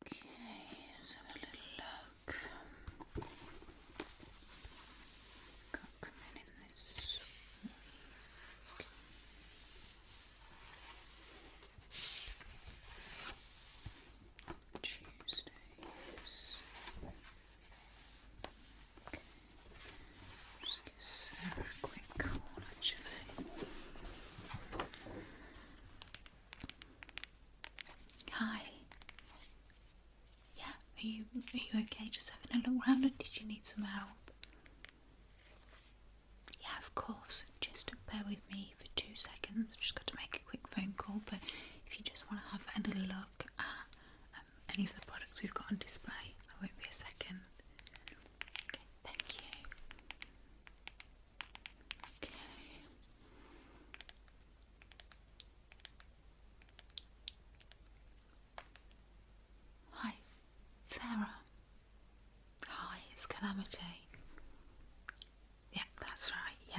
Okay, let's have a little look. Can't in this. Okay. Okay. Just give Sarah a quick call actually. Hi. Yeah, are you are you okay? Just having a look round, or did you need some help? Yeah, of course. Just bear with me for two seconds. I've just got to make a quick phone call, but if you just want to have a look at um, any of the products we've got on display, I won't be a second. Okay, thank you. Okay. Hi, Sarah. Hi, it's Calamity. Yeah, that's right. Yeah,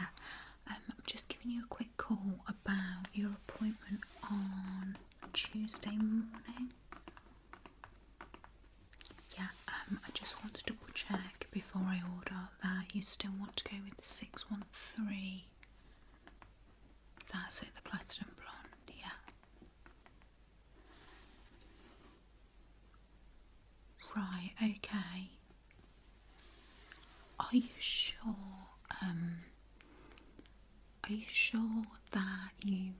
um, I'm just giving you a quick call about your appointment on Tuesday morning. Yeah, um, I just want to double check before I order that you still want to go with the 613. That's it, the platinum blonde, yeah. Right, okay. Are you sure? Um, are you sure that you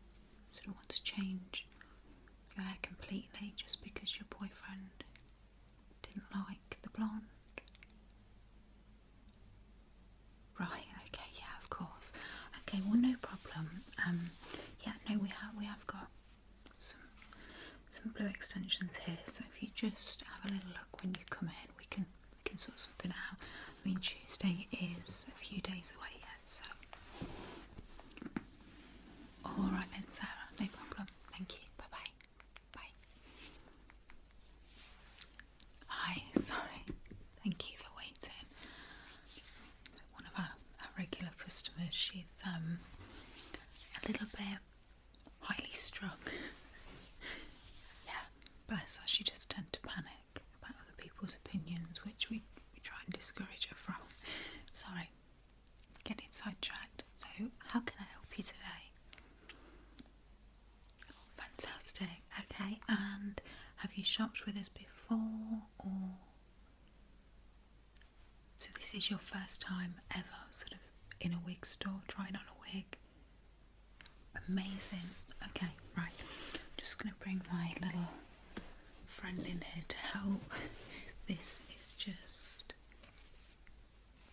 sort of want to change your hair completely just because your boyfriend didn't like the blonde? Right, okay, yeah, of course. Okay, well no problem. Um yeah, no we have we have got some some blue extensions here, so if you just have a little look when you come in we can we can sort something out. I mean Tuesday is a few days away, yet all right then, Sarah, no problem. Thank you. Bye bye. Bye. Hi, sorry. Thank you for waiting. One of our, regular customers, she's um a little bit highly strung. yeah, bless her. She just tends to panic about other people's opinions, which we we try and discourage her from. Sorry, getting sidetracked. So, how can I help you today? Oh, fantastic. Okay, and have you shopped with us before or? So, this is your first time ever sort of in a wig store, trying on a wig. Amazing. Okay, right. just going to bring my little friend in here to help. This is just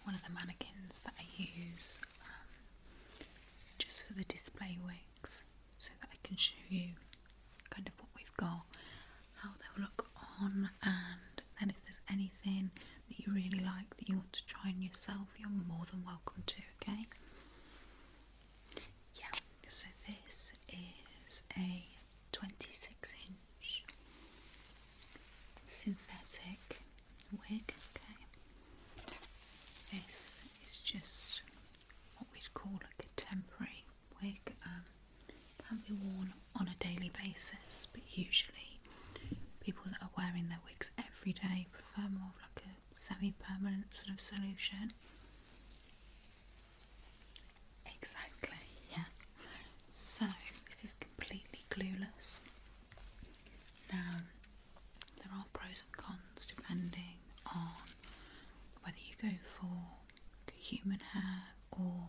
one of the mannequins that I use um, just for the display wigs so that I can show you kind of what we've got, how they'll look on, and then if there's anything that you really like that you want to try on yourself, you're more than welcome to, okay? Yeah, so this is a 26 inch synthetic wig, okay. This is just what we'd call a contemporary wig. Um, can be worn on a daily basis, but usually people that are wearing their wigs every day prefer more of like a semi-permanent sort of solution. Exactly, yeah. So, this is completely clueless. Now, there are pros and cons depending on whether you go for human hair or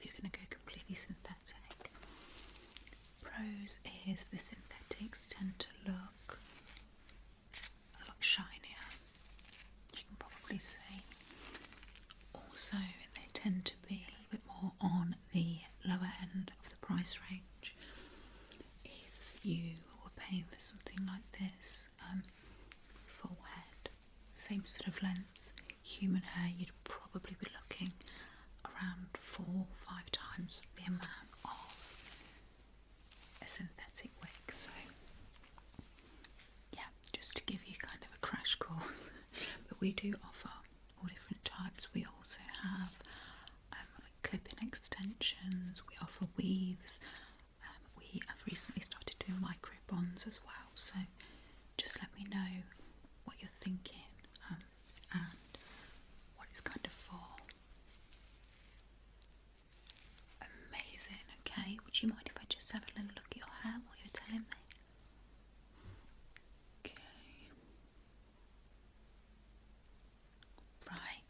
if you're going to go completely synthetic. Pros is the synthetics tend to look a lot shinier, you can probably see. Also, they tend to be a little bit more on the lower end of the price range. If you were paying for something like this, um, full head, same sort of length, human hair, you'd probably be looking around four, five times the amount of a synthetic wig. So yeah, just to give you kind of a crash course. but we do offer all different types. We also have clip um, like extensions, we offer weaves, um, we have recently started doing micro bonds as well. So just let me know what you're thinking um, and what it's kind of for. Amazing, okay. Would you mind if I just have a little look at your hair while you're telling me? Okay. Right.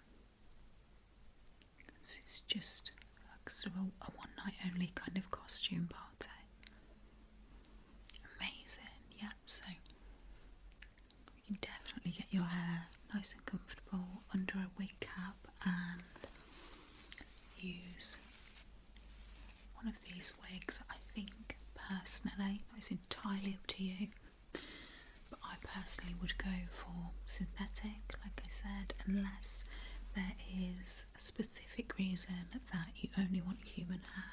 So it's just like sort of a, one night only kind of costume party. Amazing, yeah. So you can definitely get your hair nice and comfortable under a wig makeup and use one of these wigs. I think personally, it's entirely up to you, but I personally would go for synthetic, like I said, unless there is a specific reason that you only want human hair.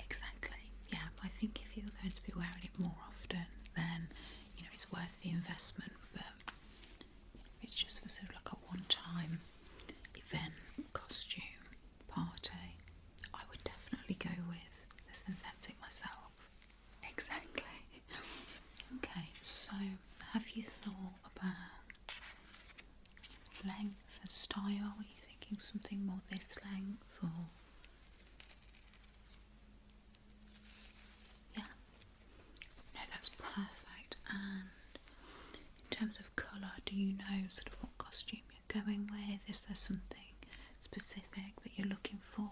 Exactly, yeah. I think if you are going to be wearing it more often, then you know it's worth the investment, but it's just for sort of like a one-time event costume party. I would definitely go with the synthetic myself. Exactly. okay, so have you thought about length and style? Are you thinking something more this length or? Yeah. No, that's perfect. And in terms of colour, do you know sort of what costume you're going with? Is there something specific that you're looking for?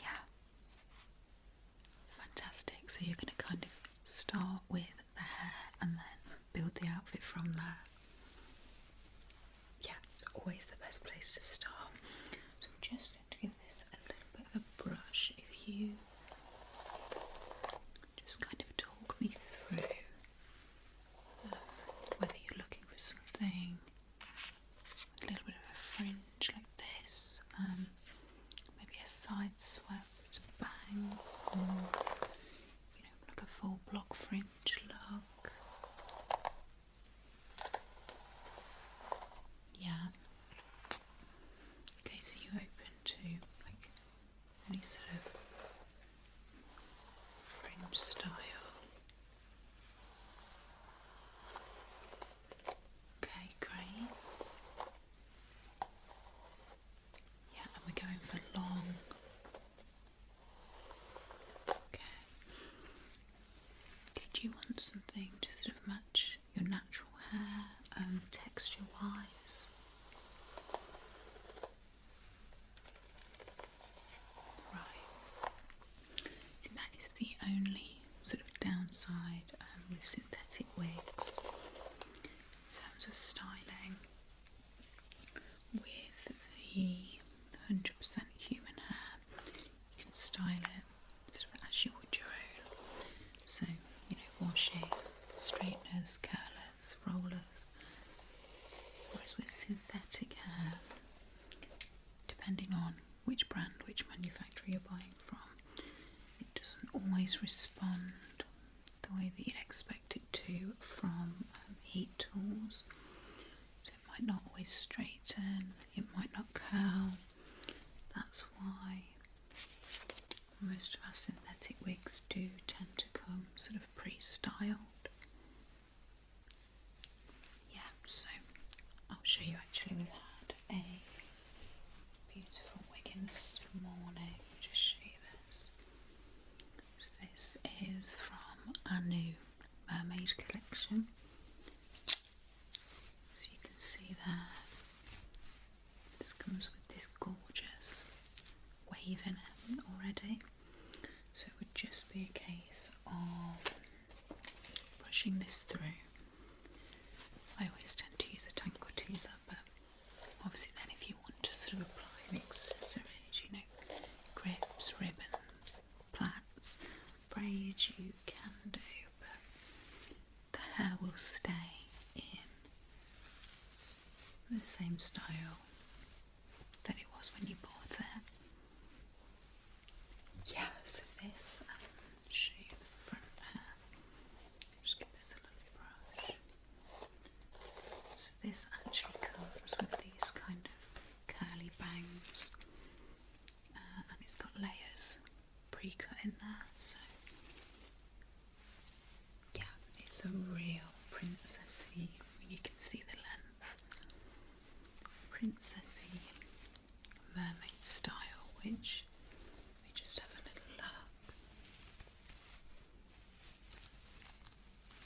Yeah. Fantastic. So you're going to kind of start with the hair and then build the outfit from there. Yeah, it's always the best place to start. So I'm just going to give this a little bit of a brush. If you just kind of talk me through um, whether you're looking for something with a little bit of a fringe like this, um, maybe a side swept bang, or like a full block fringe look. Yeah. Okay, so you open to like any sort of French style. Okay, great. Yeah, and we're going for long Okay. Did you want something to sort of match your natural hair, um, texture wise? Right. See, that is the only sort of downside um, with synthetic wigs in terms of styling with the 100% human hair. You can style it as you would your own. So, you know, washing, straighteners, curlers, rollers. Whereas with synthetic hair, depending on which brand, which manufacturer you're buying from, it doesn't always respond the way that you'd expect it to from um, heat tools. So it might not always straighten, it might not curl. That's why most of our synthetic wigs do tend to come sort of pre styled. Yeah, so I'll show you actually, we've had a beautiful wig in this morning. Just show you this this is from our new mermaid collection. So you can see there, this comes with this gorgeous wave in it already. So it would just be a case of brushing this through. I always tend to use a tank or teaser, but obviously then if you want to sort of apply an accessory, you know grips, ribbons, plaits, braids you can do, but the hair will stay in the same style that it was when you bought it. Yeah, so this um, shoe, the front hair, just give this a little brush. So this actually comes with these kind of curly bangs uh, and it's got layers pre-cut in there so yeah it's a real princessy you can see the length princessy mermaid style which we just have a little look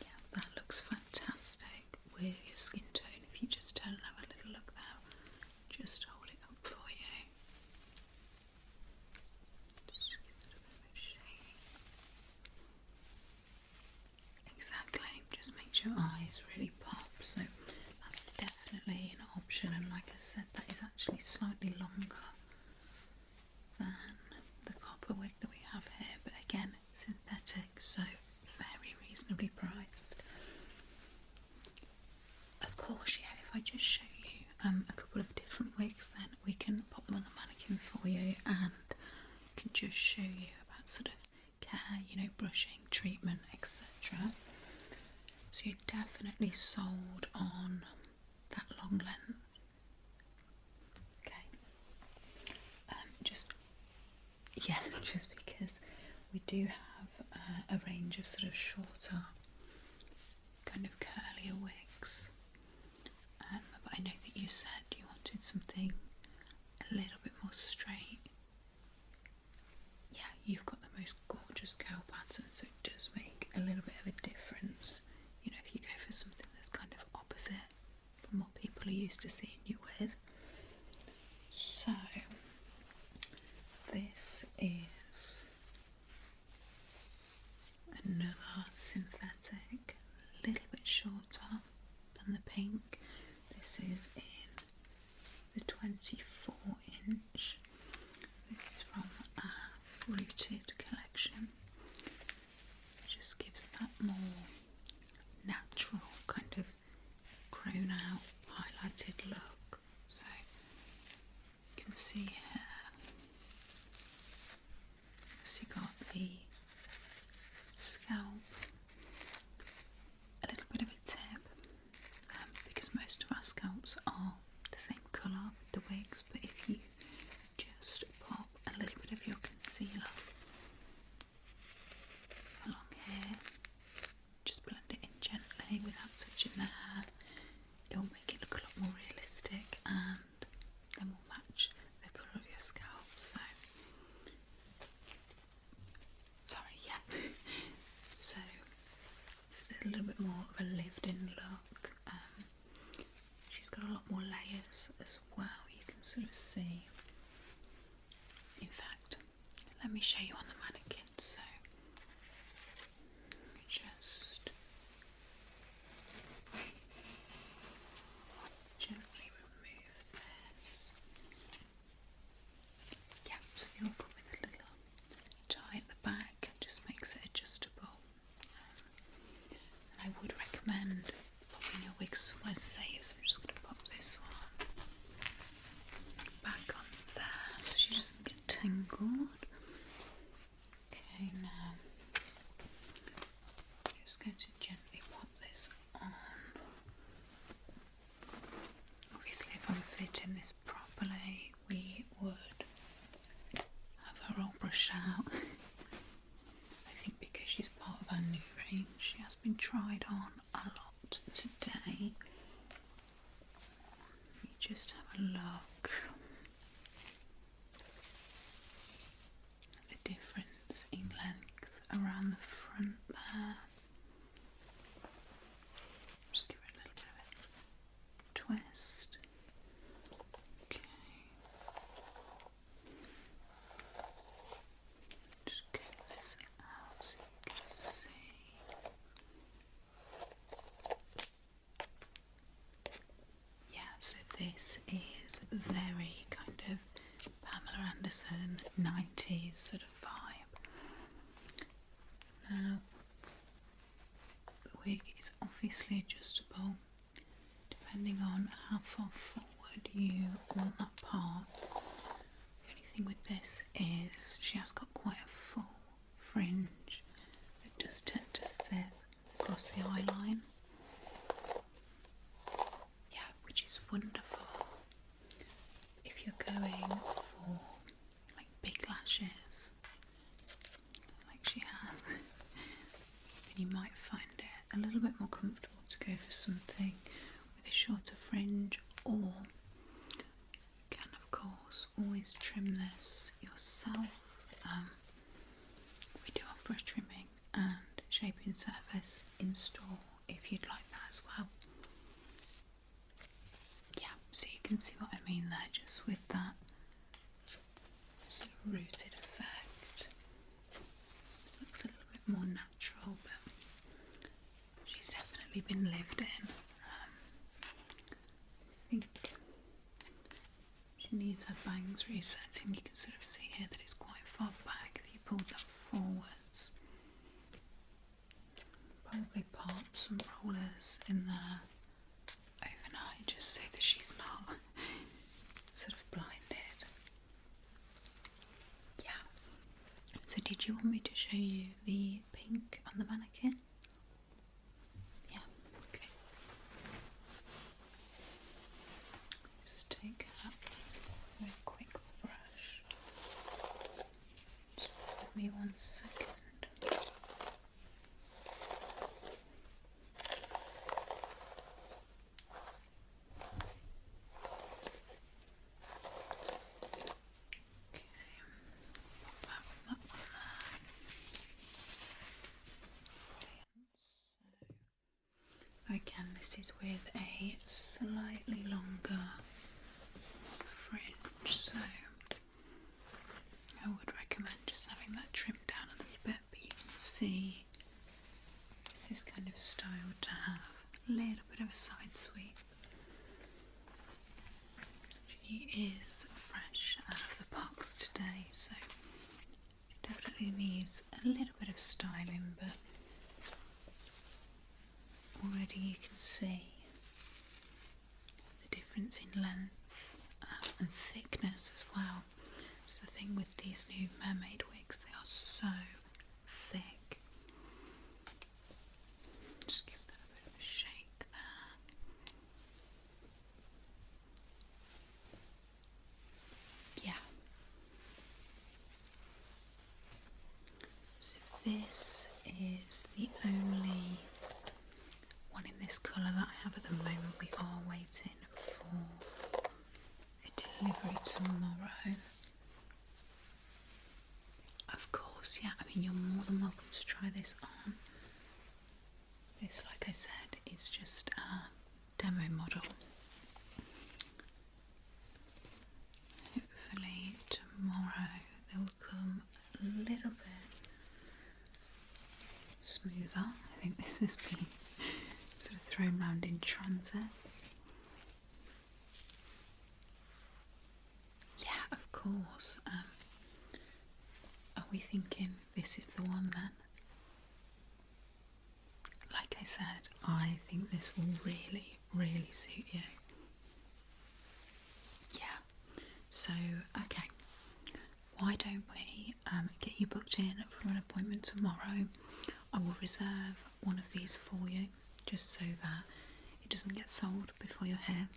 yeah, that looks fantastic with your skin tone. If you just turn and have a little look there, just hold it up for you. Just give it a bit of shade. Exactly, just makes your eyes really pop. So that's definitely an option. And like I said, that is actually slightly longer than the copper wig that we have here, but again, synthetic, so very reasonably priced. Of course, yeah, if I just show you um, a couple of different wigs, then we can pop them on the mannequin for you and can just show you about sort of care, you know, brushing, treatment, etc. So you're definitely sold on that long length. Okay. Um, just yeah, just because we do have uh, a range of sort of shorter, kind of curlier wigs. Um, but I know that you said you wanted something a little bit more straight. Yeah, you've got the most gorgeous curl pattern, so it does make a little bit of a difference you know, if you go for something that's kind of opposite from what people are used to seeing you with. So, this is another synthetic, a little bit shorter than the pink. This is in the 24 inch. This is from a Rooted collection just gives that more natural kind of grown out highlighted look. So you can see here, so you got the scalp, a little bit of a tip, um, because most of our scalps are the same colour with the wigs, but if you just pop a little bit of your concealer along here. Just blend it in gently without touching the hair. It'll make it look a lot more realistic and then will match the colour of your scalp. So, sorry, yeah. so, it's a little bit more of a lived in look. Um, She's got a lot more layers as well, you can sort of see. In fact, let me show you on the mannequin. So, just gently remove this. Yeah, so you'll put with a little tie at the back, just makes it adjustable. I would recommend popping your wig somewhere safe, so I'm just going to pop this one back on there so she doesn't get tangled. Okay, now I'm just going to gently pop this on. Obviously, if I'm fitting this properly, we would have her all brushed out. I think because she's part of our new range, she has been tried on a lot today. Let just have a look at the difference in length around the front there. Just give it a little bit twist. Okay. Just so Yeah, so this is very kind of Pamela Anderson 90s sort of vibe. Now, the wig is obviously adjustable, depending on how far forward you want that part. The only thing with this is she has got quite a full fringe that just tend to sit across the eye line. Yeah, which is wonderful if you're going for like big lashes like she has, then you might find it a little bit more comfortable to go for something with a shorter fringe, or you can, of course, always trim this yourself. Um, we do offer trimming and shaping service in store if you'd like that as well. Yeah, so you can see what I mean there just with that Sort of rooted effect. Looks a little bit more natural, but she's definitely been lived in. Um, I think she needs her bangs resetting. You can sort of see here that it's quite far back. If you pull that forwards, probably pop some rollers in there overnight just so that she's not sort of blinded. Yeah. So, did you want me to show you the pink on the mannequin? Yeah, okay. Just take a quick brush. Just bear me one second pop um, that So, again, this is with a slightly longer fringe, so I would recommend just having that trimmed down a little bit, but you can see this is kind of styled to have a little bit of a side sweep. She is fresh out of the box today, so definitely needs a little bit of styling, but already you can see the difference in length um, and thickness as well. It's the thing with these new mermaid wigs, they are so thick. Just give that a bit of a shake Yeah. So this is the only one in this colour that I have at the moment. We are waiting for a delivery tomorrow. Of course, yeah, I mean, you're more than welcome to try this on. This, like I said, is just a demo model. Hopefully, tomorrow there will come a little bit smoother. I think this has been sort of thrown around in transit. Yeah, of course. Um, are we thinking this is the one then? Like I said, I think this will really, really suit you. Yeah, so, okay, why don't we um, get you booked in for an appointment tomorrow? I will reserve one of these for you just so that it doesn't get sold before you're here.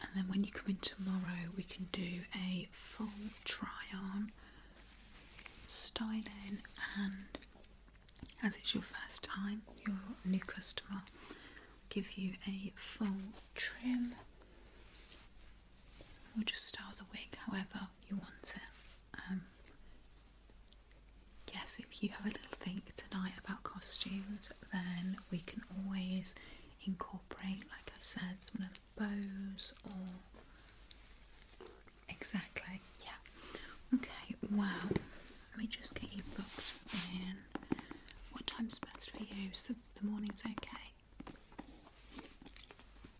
And then when you come in tomorrow, we can do a full try on styling. And as it's your first time, your new customer, give you a full trim We'll just style the wig however you want it. Um, yes, if you have a little think tonight about costumes, then we can always incorporate, like I said, some of the bows or. Exactly, yeah. Okay, wow. Let me just get you booked in. What time's best for you? the morning's okay.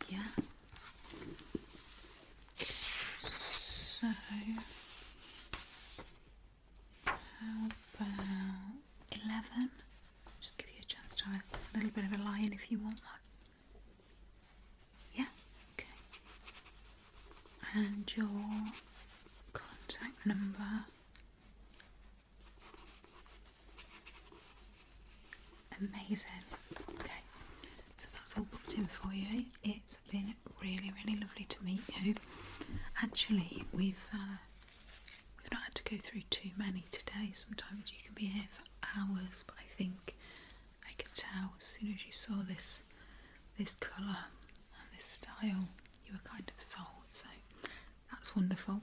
Yeah. So, how about 11? Just give you a chance to have a little bit of a lie if you want one. Yeah, okay. And your contact number Amazing. Okay, so that's all booked in for you. It's been really, really lovely to meet you. Actually, we've uh, we've not had to go through too many today. Sometimes you can be here for hours, but I think I could tell as soon as you saw this this colour and this style, you were kind of sold. So that's wonderful.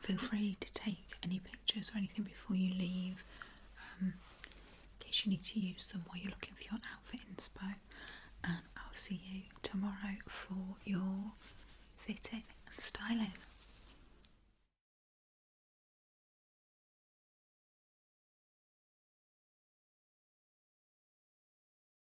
Feel free to take any pictures or anything before you leave um, in case you need to use them while you're looking for your outfit inspo. And I'll see you tomorrow for your fitting and styling.